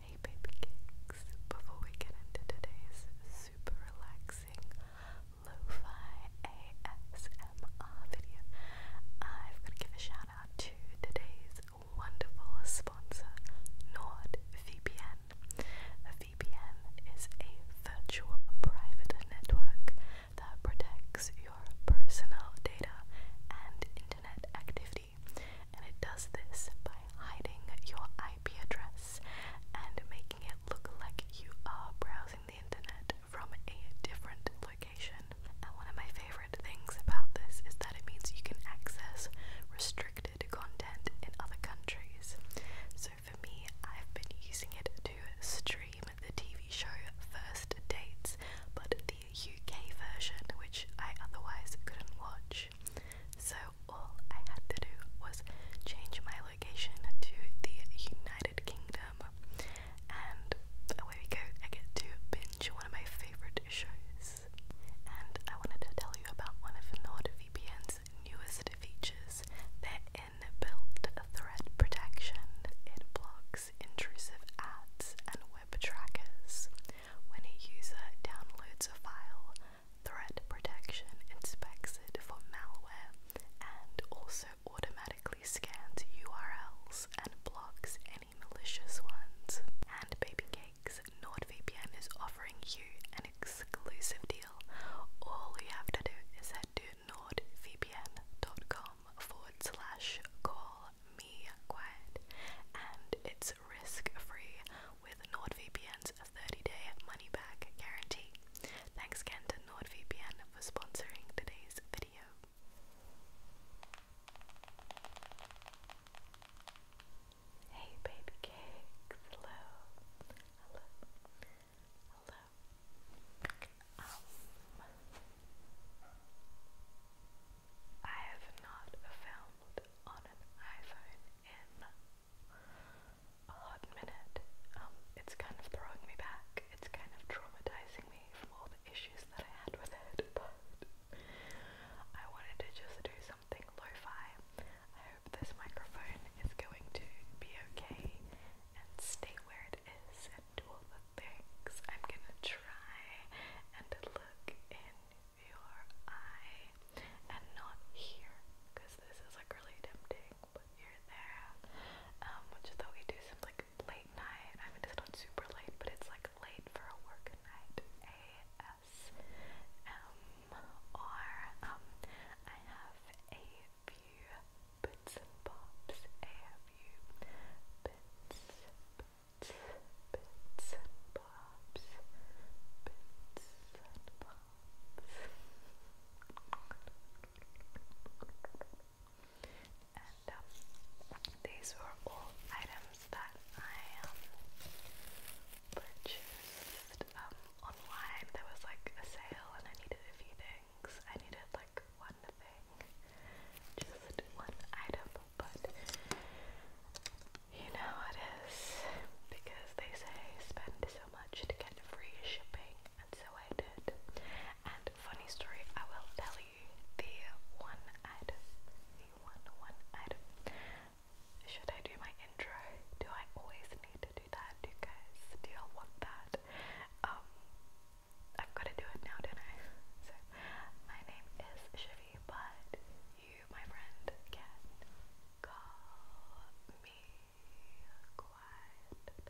Hey baby cakes! Before we get into today's super relaxing lo ASMR video, I've got to give a shout out to today's wonderful sponsor, NordVPN. A VPN is a virtual private network that protects your personal data and internet activity and it does this by hiding your IP address and making it look like you are browsing the internet from a different location. And one of my favorite things about this is that it means you can access restricted content in other countries. So for me, I've been using it to stream the TV show First Dates, but the UK version, which I otherwise couldn't watch. So all I had to do was change my location to the United Kingdom, and away we go. I get to binge one of my favorite shows. And I wanted to tell you about one of NordVPN's newest features their inbuilt threat protection. It blocks intrusive ads and web trackers. When a user downloads a file, Threat Protection inspects it for malware and also automatically scans URLs and blocks any malicious ones. And Baby Cakes, NordVPN is offering you an exclusive deal. All you have to do is head to nordvpn.com forward slash call me quiet and it's risk free with NordVPN's 30-day money-back guarantee. Thanks again to NordVPN for sponsoring today's video. Hey baby cakes, hello, hello, um, I have not filmed on an iPhone in a hot minute. Um, it's kind of throwing me back. It's kind of traumatizing me from all the issues that I had with it, I wanted to just do something lo-fi. I hope this microphone is going to be okay and stay where it is and do all the things. I'm gonna try and look in your eye and not here because this is like really tempting, but you're there. Um, which is what we do seems like late night. I mean, it's not super late, but it's like late for a work night. ASM or um, I have a few bits and pops. A few bits, bits, bits and pops pops, bits um, these were all items that I um, purchased um, online. There was like a sale, and I needed a few things. I needed like one thing, just one item, but you know it is because they say spend so much to get free shipping, and so I did. And funny story, I will tell you the one item. The one one item. Should I do my intro? Do I always need to do that? Do you guys do y'all want that? Um I've gotta do it now, don't I? So my name is Chevy, but you my friend can call me quiet.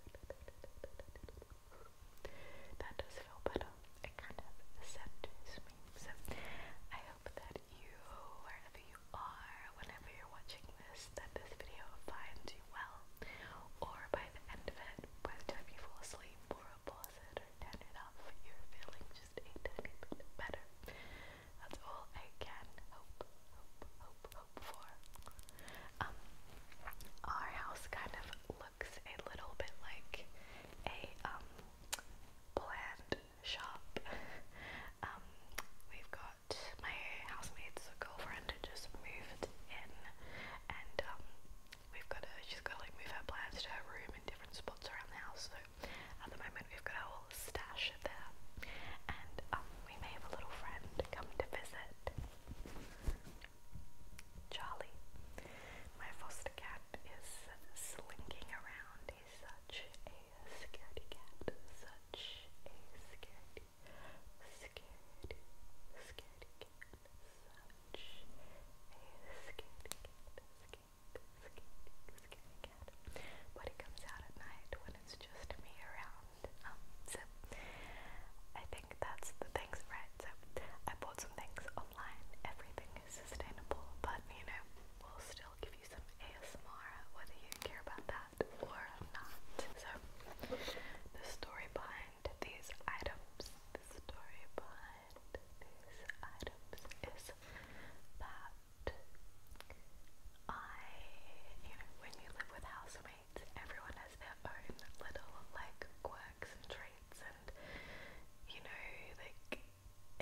That does feel better. It kind of centers me. So I hope that you, wherever you are, whenever you're watching this, that this video finds you well. Or by the end of it, by the time you fall asleep or pause or turn it off, you're feeling just a tiny bit better. That's all I can hope, hope, hope, hope for. Um, our house kind of looks a little bit like a um bland shop. um, we've got my housemate's girlfriend just moved in, and um, we've got to she's got to like move her plans to her room in different spots around the house. So at the moment we've got our whole stash there, and um, we may have a little friend come to visit. Charlie, my foster cat, is slinking around. He's such a scaredy cat, such a scaredy, scaredy, scaredy cat, such a scaredy cat. Scaredy cat, scary, But it comes out at night when it's just me around. Um, so I think that's the things, right? So I bought some things online. Everything is sustainable, but you know, we'll still give you some ASMR, whether you care about that or not. So the story behind these items, the story behind these items is that I, you know, when you live with housemates, everyone has their own little like quirks and traits, and you know, like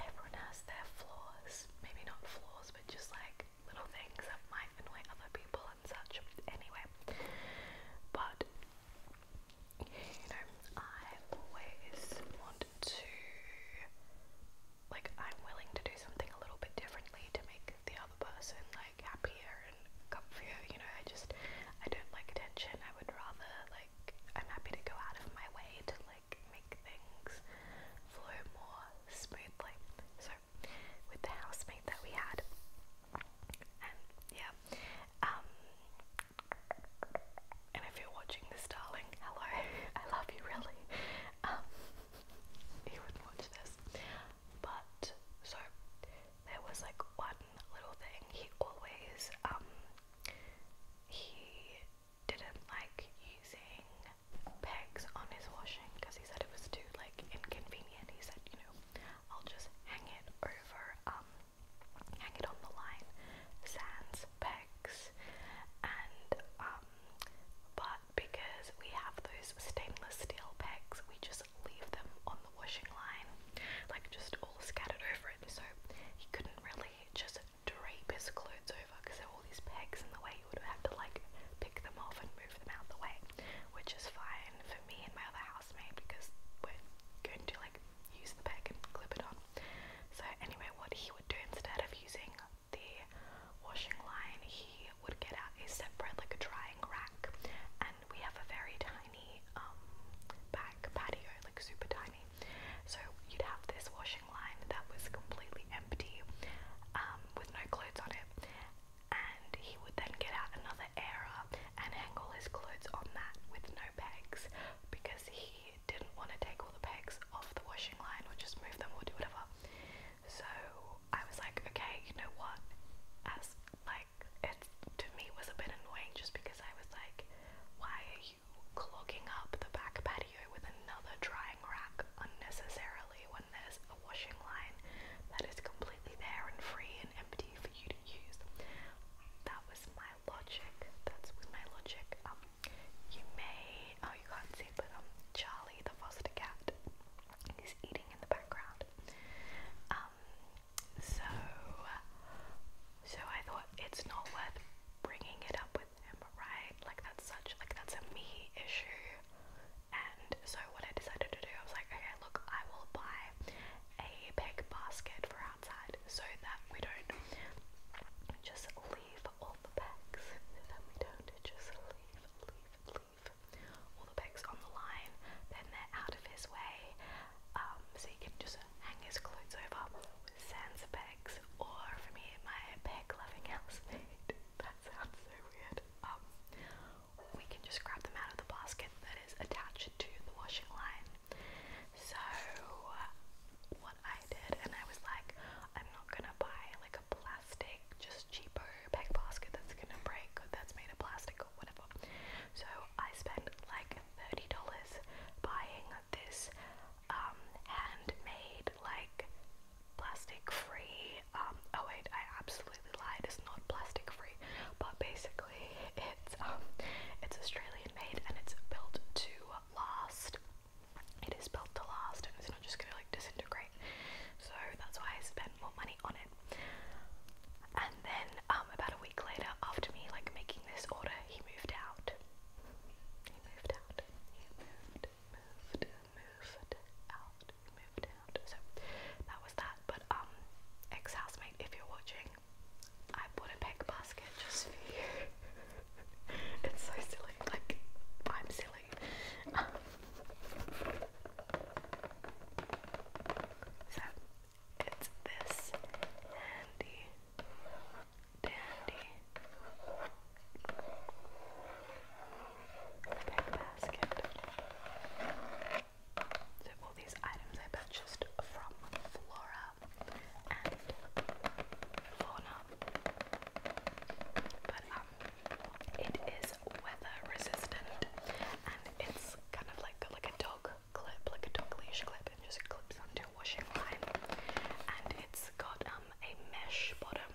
everyone has their flaws. Maybe not flaws, but just like little things that might annoy other people and such. Anyway, but you know, I always want to like I'm willing to do something a little bit differently to make the other person like happier and comfier, you know, I just I don't like attention. I would rather like I'm happy to go out of my way to like make things flow more smoothly. So with the housemate that we had and yeah. Um, and if you're watching this darling, hello. I love you really um, he would watch this. But so there was like one little thing he always um he didn't like using pegs on his washing because he said it was too like inconvenient. He said, you know, I'll just hang it over um hang it on the line, sans pegs and um but because we have those stainless steel pegs, we just leave them on the washing line, like just all scattered over it. So he couldn't really just drape his clothes over because there were all these pegs in the way. You would have to like pick them off and move them out the way, which is fine for me and my other housemate because we're going to like use the peg and clip it on. So anyway, what he would do instead of using the washing line, he would get out a separate, like a drying rack. And we have a very tiny um, back patio, like super tiny. So you'd have this washing line that was completely empty um, with no clothes on it. And he would then get out another airer and hang all his clothes on that with no pegs because he didn't want to take all the pegs off the washing line or just move them or do whatever. So I was like, okay, you know what? As like it to me was a bit annoying just because I was like, why are you clogging up the back patio with another drying rack unnecessarily when there's a washing line that is completely there and free and empty for you to use? That was my logic. That's was my logic. Um, you may, oh you can't see it, but um, Charlie the foster cat is eating in the background. Um, so, so I thought it's not worth bringing it up with him, right? Like that's such, like that's a me issue. And so what I decided to do, I was like, okay, look, I will buy a peg basket for outside so that we don't just leave leave all the pegs, then we don't just leave, leave, leave all the pegs on the line, then they're out of his way, um, so he can just hang his clothes over with sans pegs, or for me, my peg-loving housemate, that sounds so weird, um, we can just grab them out of the basket that is attached to the washing line. So, what I did, and I was like, I'm not gonna buy like plastic, just cheaper peg basket that's gonna break, that's made of plastic or whatever. So I spend like $30 buying this um, handmade, like plastic free. Um, oh, wait, I absolutely lied, it's not plastic free, but basically, it's, um, it's Australian made and it's built to last it is built to last and it's not just going to like disintegrate. So that's why I spent more money on it. And then um, about a week later, after me like making this order, he moved out. He moved out. He moved, moved, moved out, moved out. So that was that. But um, ex-housemate, if you're watching, I bought a peg basket just for you. it's so silly. Like I'm silly actually. so it's this handy dandy bag basket. So all these items I purchased from Flora and Fauna. But um it is weather resistant and it's kind of like like a dog clip, like a dog leash clip, and just clips onto a washing line. And it's got um, a mesh bottom,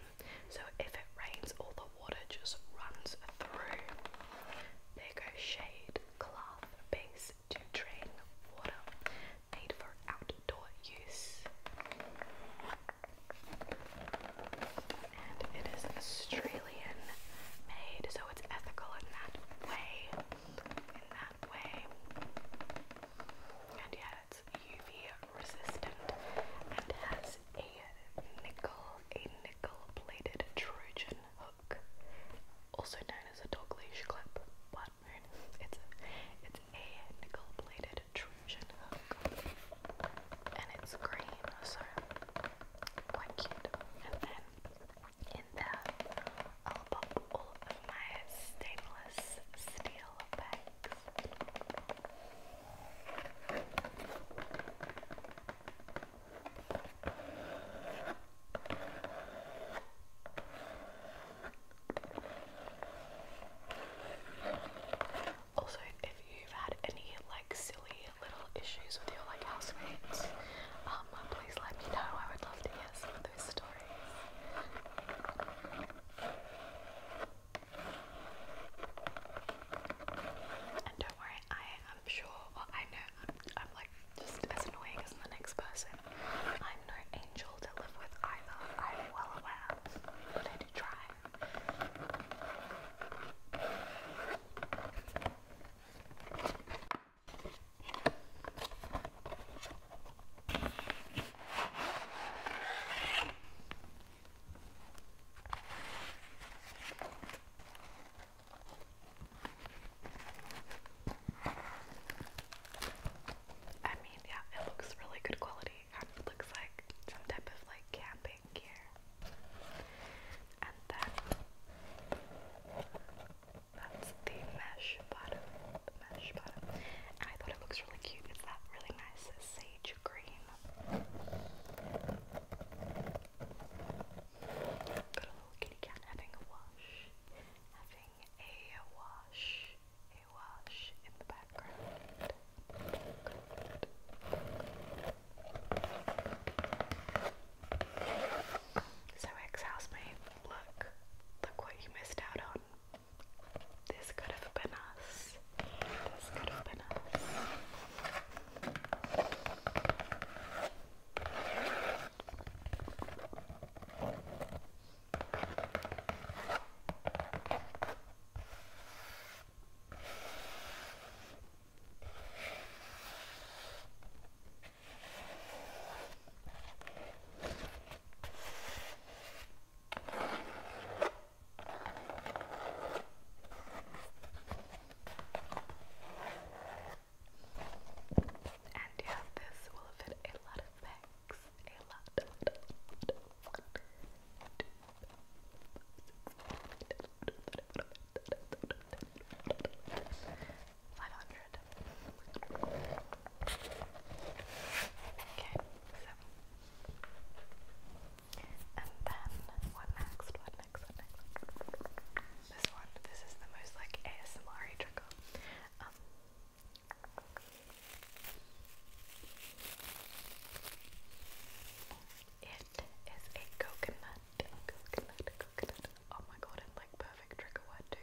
so if it rains, all the water just runs through. Bigger shade cloth base to drain water, made for out outdoor use. it is Australian made, so it's ethical in that way. In that way. And yeah, it's UV resistant and has a nickel, a nickel-plated Trojan hook, also known as a dog leash clip. But It's it's a nickel-plated wide And it's green, so quite cute. And then in there, I'll pop all of my stainless steel bags. Also, if you've had any like silly little issues with your like housemates, um, please let me know. I would love to hear some of those stories. And don't worry, I am sure, I know I'm like just as annoying as the next person. I'm no angel to live with either. I'm well aware, but I do try. I mean, yeah, it looks really good quality looks like some type of like camping gear. And then that's the mesh bottom. mesh bottom. I thought it looks really cute. It's that really nice sage green. Got a little kitty cat having a wash. Having a wash a So, ex-housemate, look, look what you missed out on. This could have been us. This could have been us. And yeah, this will fit a lot of bags. A lot, a lot, a lot, a lot. Five hundred. Okay, so and then what next? What next? What next? This one. This is the most like ASMR trickle. Um. It is a coconut, coconut, coconut. Oh my god, it's like perfect trigger word too.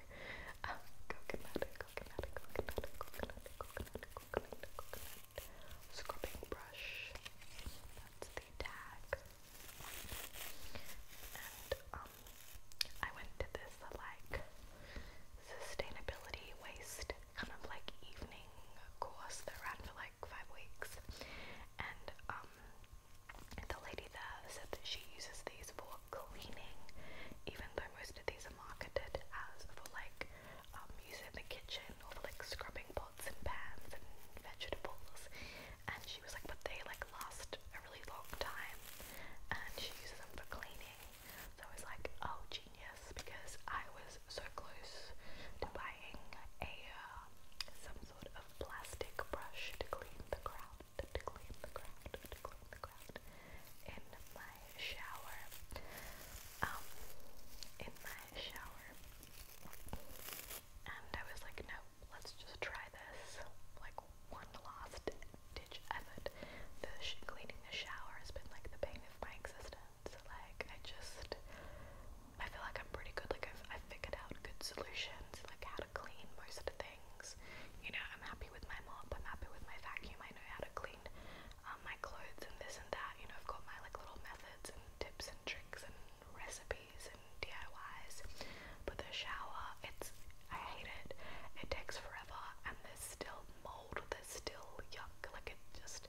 Um, coconut, coconut, coconut, coconut, coconut, coconut, coconut. Scrubbing brush. That's the tag. And um, I went to this like sustainability waste kind of like evening course that ran for like five weeks, and um, the lady there said that she uses these for cleaning, even though most of these are marketed as for like um, use in the kitchen or for like scrubbing pots and pans and vegetables. And she was like, but they like last a really long time, and she uses them for cleaning. So I was like, oh, gee genius because I was so close to buying a uh, some sort of plastic brush to clean the ground, to clean the ground, to clean the ground in my shower. Um, in my shower, and I was like, no, let's just try this. Like one last ditch effort. The sh cleaning the shower has been like the pain of my existence sense. Like I just, I feel like I'm pretty good. Like I've, I've figured out good solutions, like how to clean most of the things. You know, I'm happy with my mop. I'm happy with my vacuum. I know how to clean um, my clothes and this and that. You know, I've got my like little methods and tips and tricks and recipes and DIYs. But the shower, it's I hate it. It takes forever, and there's still mold. There's still yuck. Like it just,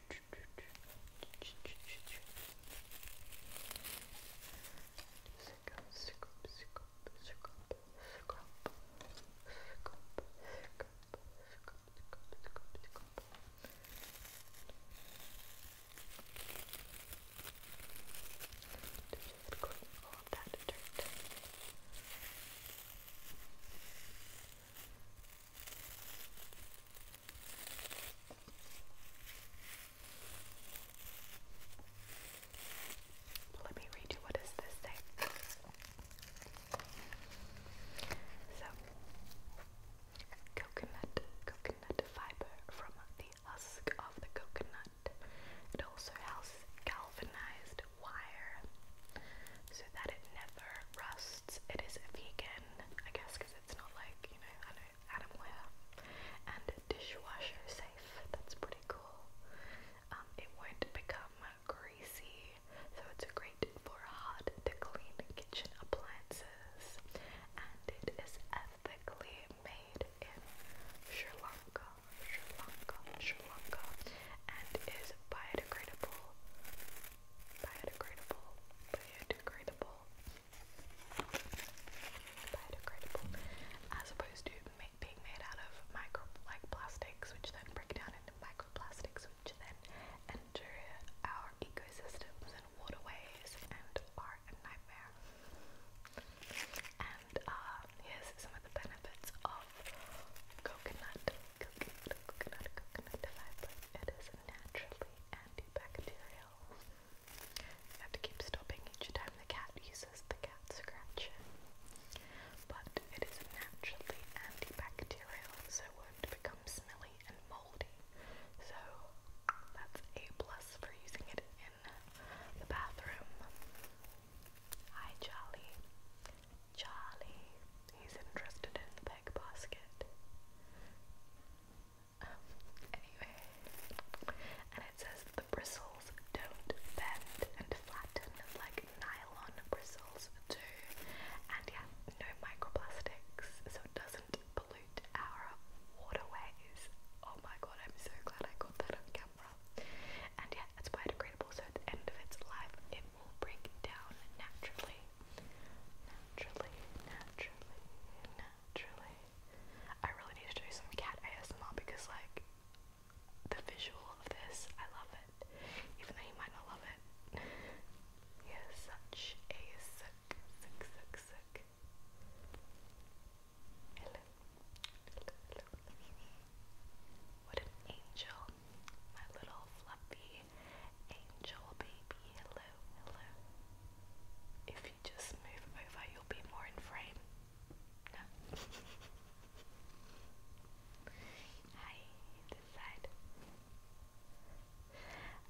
all of that dirt. Just let me read you what does this say. So, coconut, coconut fiber from the husk of the coconut. It also has galvanized wire. So that it never rusts. It is vegan, I guess, it's not like, you know, animal hair. And dishwasher safe, that's pretty cool. Um, it won't become greasy, so it's great for hard to clean kitchen appliances. And it is ethically made in Sri Lanka, Sri Lanka, Sri Lanka, and is biodegradable biodegradable, biodegradable, biodegradable, as opposed to ma being made out of micro like plastics, which then break down into microplastics, which then enter our ecosystems and waterways and are a nightmare. And uh, here's some of the benefits of coconut coconut, coconut, coconut fiber. It is naturally antibacterial. You have to keep stopping each time the cat uses the cat scratcher. But it is naturally antibacterial, so it won't become smelly and moldy. So that's a plus for using it in the bathroom. Hi Charlie. Charlie. He's interested in the peg basket. Um, anyway. And it says the bristles don't bend and flatten like nylon bristles do. And yeah, no microplastics, so it doesn't pollute our waterways. Oh my god, I'm so glad I got that on camera. And yeah, it's biodegradable, so at the end of its life, it will break down naturally naturally, naturally, naturally. I really need to do some cat ASMR because, like, the visual of this, I love it. Even though you might not love it. He yeah, is such a sick, sick, sick, sick. Hello. Hello, hello. What an angel. My little fluffy Angel baby, hello, hello. If you just move over, you'll be more in frame. No. Hi, this side.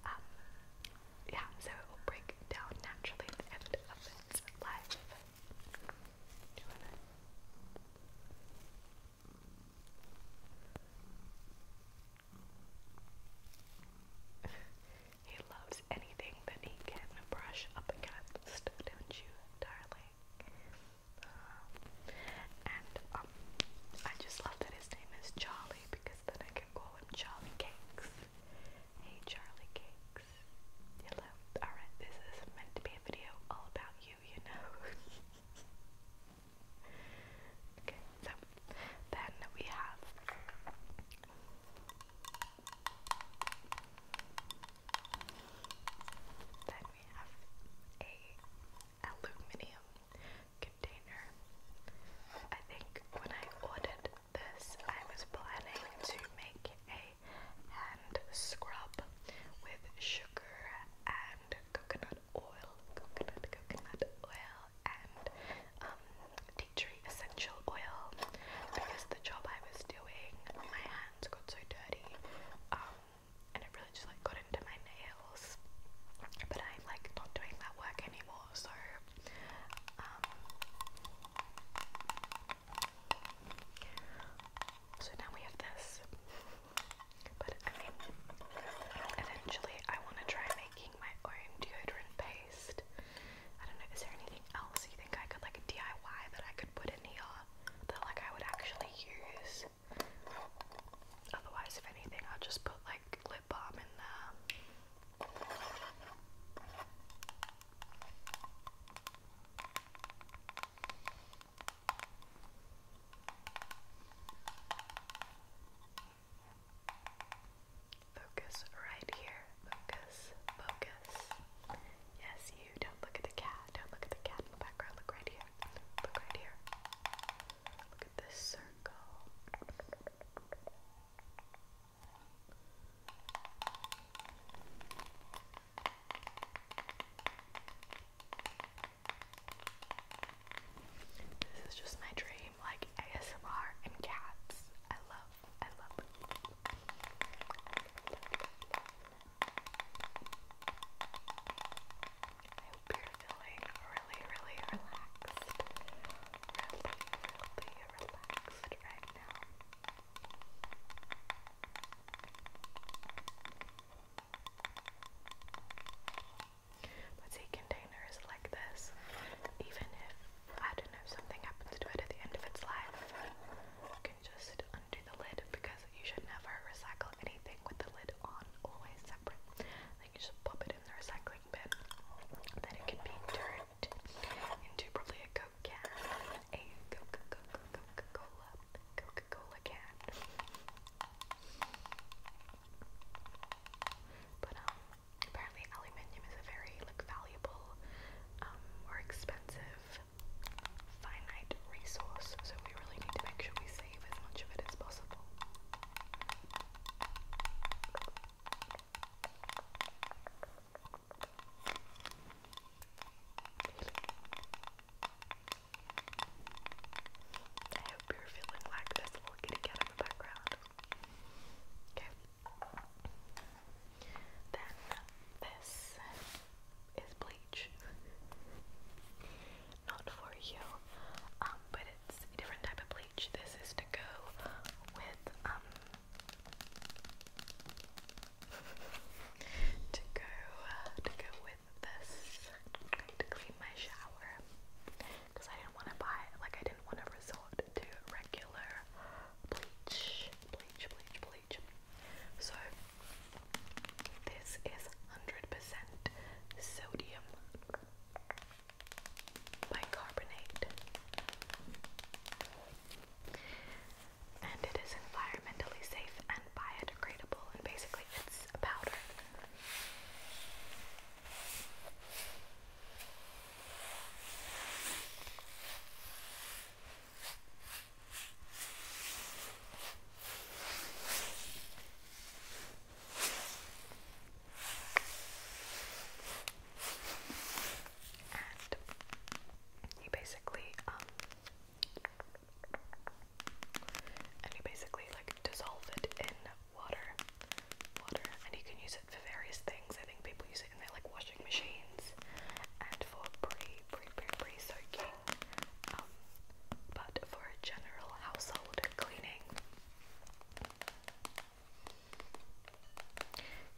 Um, yeah, so it will break down naturally at the end of its life he loves anything that he can brush up against, don't you, darling? Uh, and um, I just love that his name is Charlie because then I can call him Charlie Cakes. Hey, Charlie Cakes. Alright, this is meant to be a video all about you, you know. Okay, so then we have then we have a aluminum container. I think when I ordered this I was planning to make a hand scrub with sugar and coconut coconut oil, coconut, coconut oil, and um, tea tree essential oil because the job I was doing, my hands got so dirty um, and it really just like got into my nails. But I'm like not doing that work anymore, so um, so now we have this. But I mean, eventually I want to try making my own deodorant paste. I don't know, is there anything else you think I could like DIY that I could put in here that like I would actually use? Otherwise, if anything, I'll just put like lip balm in there. Focus right here. Focus, focus. Yes, you. Don't look at the cat. Don't look at the cat in the background. Look right here. Look right here. Look at this circle. This is just my dream, like ASMR and cats. I love, I love. I hope you're feeling really, really relaxed. Really, really relaxed right now. But see, containers like this, even if, I don't know, something happens to it at the end of its life, you can just undo the lid because you should never recycle anything with the lid on, always separate. Then you just pop it in the recycling bin, then it can be turned into probably a Coke can, a Coca-Cola, Coca-Cola can. But um, apparently aluminium is a very like valuable um, or expensive finite resource, so we really need to make sure we save as much of it as possible. I hope you feeling like this little kitty cat in the background. Okay. Then this is bleach. Not for you, um, but it's a different type of bleach. This is to go with um to go uh, to go with this. to clean my shower because I didn't want to buy like I didn't want to resort to regular bleach, bleach, bleach, bleach. So this is 100% sodium bicarbonate. And it is environmentally safe and biodegradable, and basically it's a powder. And he basically, um, and he basically like dissolve it in water, water, and you can use it for various things. I think people use it in their like washing machines and for pre pre pre pre soaking. Um, but for a general household cleaning,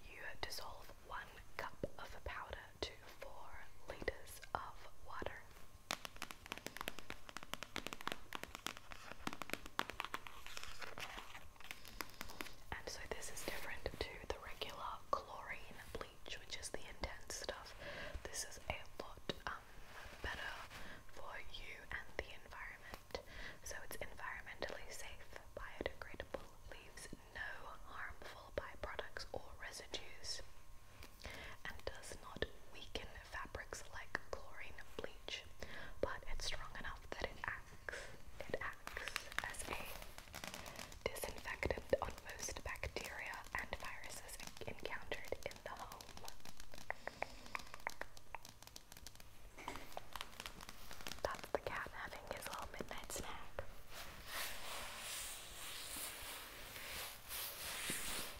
you dissolve one cup of powder to four liters of water. And so this is different to the regular chlorine bleach, which is the intense stuff. This is a lot um, better for you and the environment. So it's environmentally safe, biodegradable, leaves no harmful byproducts or residues, and does not weaken fabrics like chlorine bleach, but it's strong enough that it acts it acts as a disinfectant on most bacteria and viruses encountered in the home. That's the cat having his little midnight snack.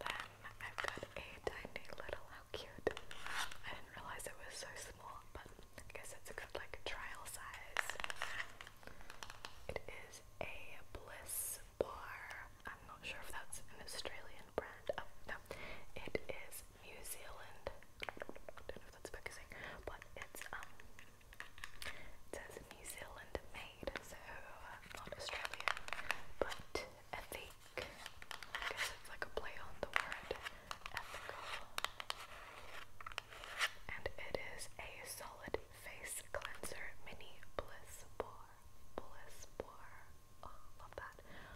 then I've got a tiny little, how cute. I didn't realize it was so small, but I guess it's a good like trial size. It is a Bliss bar. I'm not sure if that's an Australian brand. Oh no. It is New Zealand. Don't know if that's focusing, but it's um it says New Zealand made, so uh, not Australia, but ethic. I guess it's like a play on the word ethical. And it is a solid face cleanser mini bliss bar. Bliss bar. Oh, love that.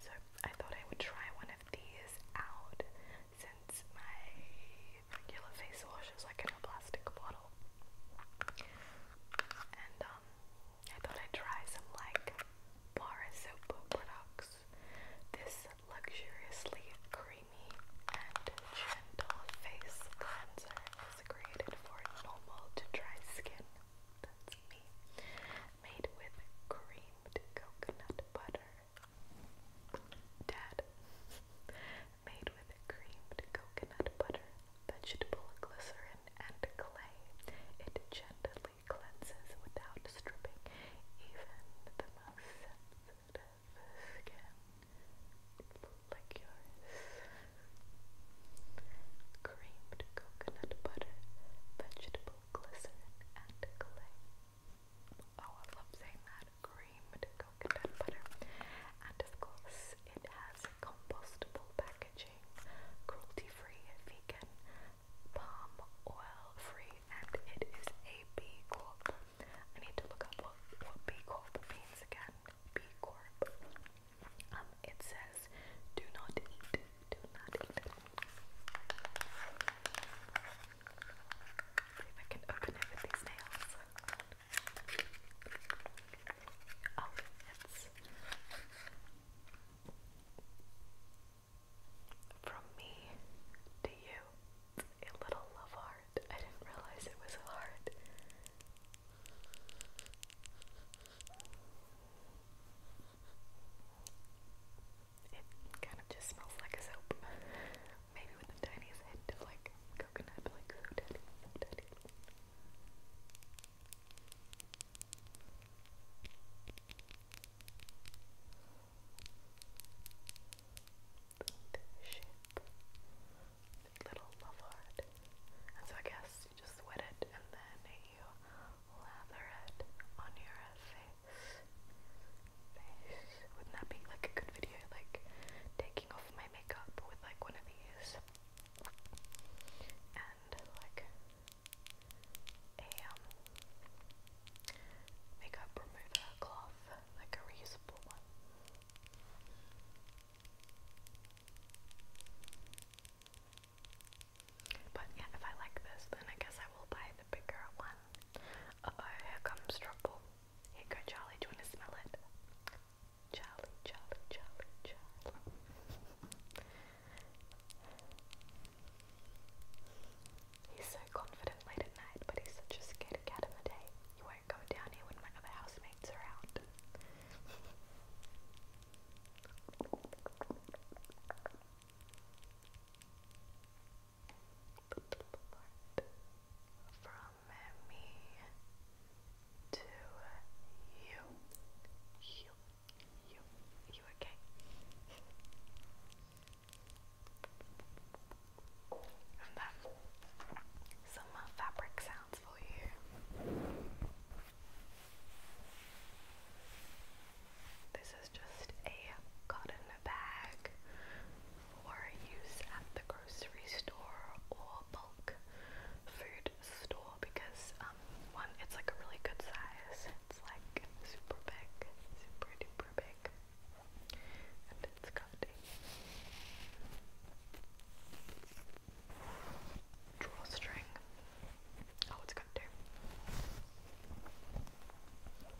So I thought I would try one of these out since my regular face wash is like in a plastic bottle. And um, I thought I'd try some like bar soap products this luxuriously creamy and gentle face cleanser is created for normal to dry skin. That's me. Made with creamed coconut butter. Dad. Made with creamed coconut butter, vegetable glycerin, and clay. It gently cleanses without stripping even the most sensitive skin like Creamed coconut butter, vegetable glycerin, and clay. Oh, I love saying that. Creamed coconut butter. And of course, it has compostable packaging, cruelty free, vegan, palm oil free and it is a B Corp. I need to look up what, what B Corp means again. B Corp. Um, it says do not eat. Do not eat. See if I can open it with these nails. Oh, it's from me to you, a little love heart. I didn't realize it was a heart. It kind of just smells like a soap. Maybe with the tiniest hint of like coconut, like so shape, little love heart. And so I guess you just wet it and then you lather it on your face. Face. Wouldn't that be like a good video? Like taking off my makeup with like one of these. And like a um, makeup remover cloth, like a reusable one. But yeah, if I like this, then I guess I will buy the bigger one. here comes trouble. Here go Charlie, do you want to smell it? Charlie, Charlie, Charlie, Charlie. He's so confident late at night, but he's such a scaredy cat in the day. You won't go down here when my other housemates are out. From me to you. You. You. You okay? And then some uh, fabric sounds for you. This is just a cotton bag for use at the grocery store or bulk food store because um one it's like a really good size. It's like super big, super duper big and it's has got a drawstring. Oh, it's got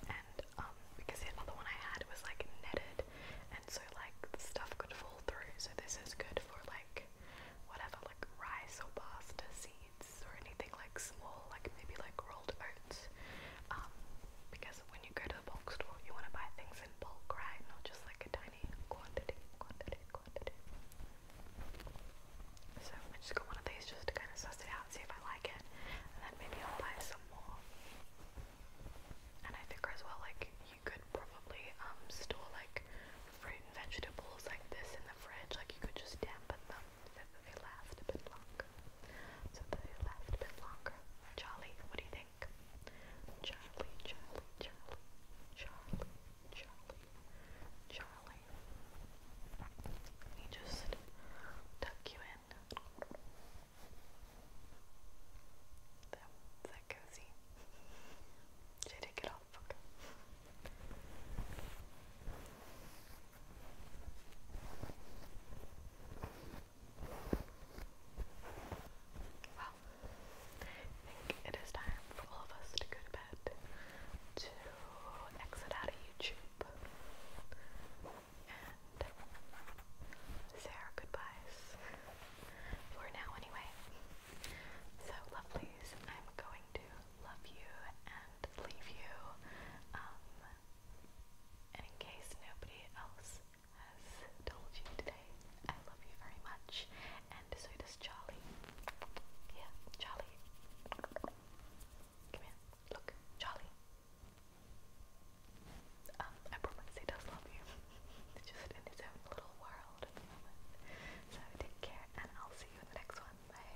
And um, because the other one I had was like netted, and so like stuff could fall through. So this is good for like whatever, like rice or pasta seeds or anything like small, like maybe like rolled oats. Um, because when you go to the bulk store, you want to buy things in bulk, right? Not just like a tiny quantity, quantity, quantity. So I just got one of these just to kind of suss it out, see if I like it, and then maybe I'll buy some more. And I figure as well, like you could probably um store like fruit and vegetables like this in the fridge, like you could just dampen them says that they last a bit longer. So they last a bit longer. Charlie, what do you think? Charlie, Charlie, Charlie, Charlie, Charlie, Charlie. Let me just tuck you in. That, that cozy. Did I take it off? Okay. Well, I think it is time for all of us to go to bed to exit out of YouTube and say our goodbyes for now, anyway. So, lovelies, I'm going to love you and leave you. Um, and in case nobody else has told you today, I love you very much. And so does Charlie. Yeah, Charlie. Come here. Look, Charlie. Um, I promise he does love you. just in his own little world at the moment. So take care, and I'll see you in the next one. Bye.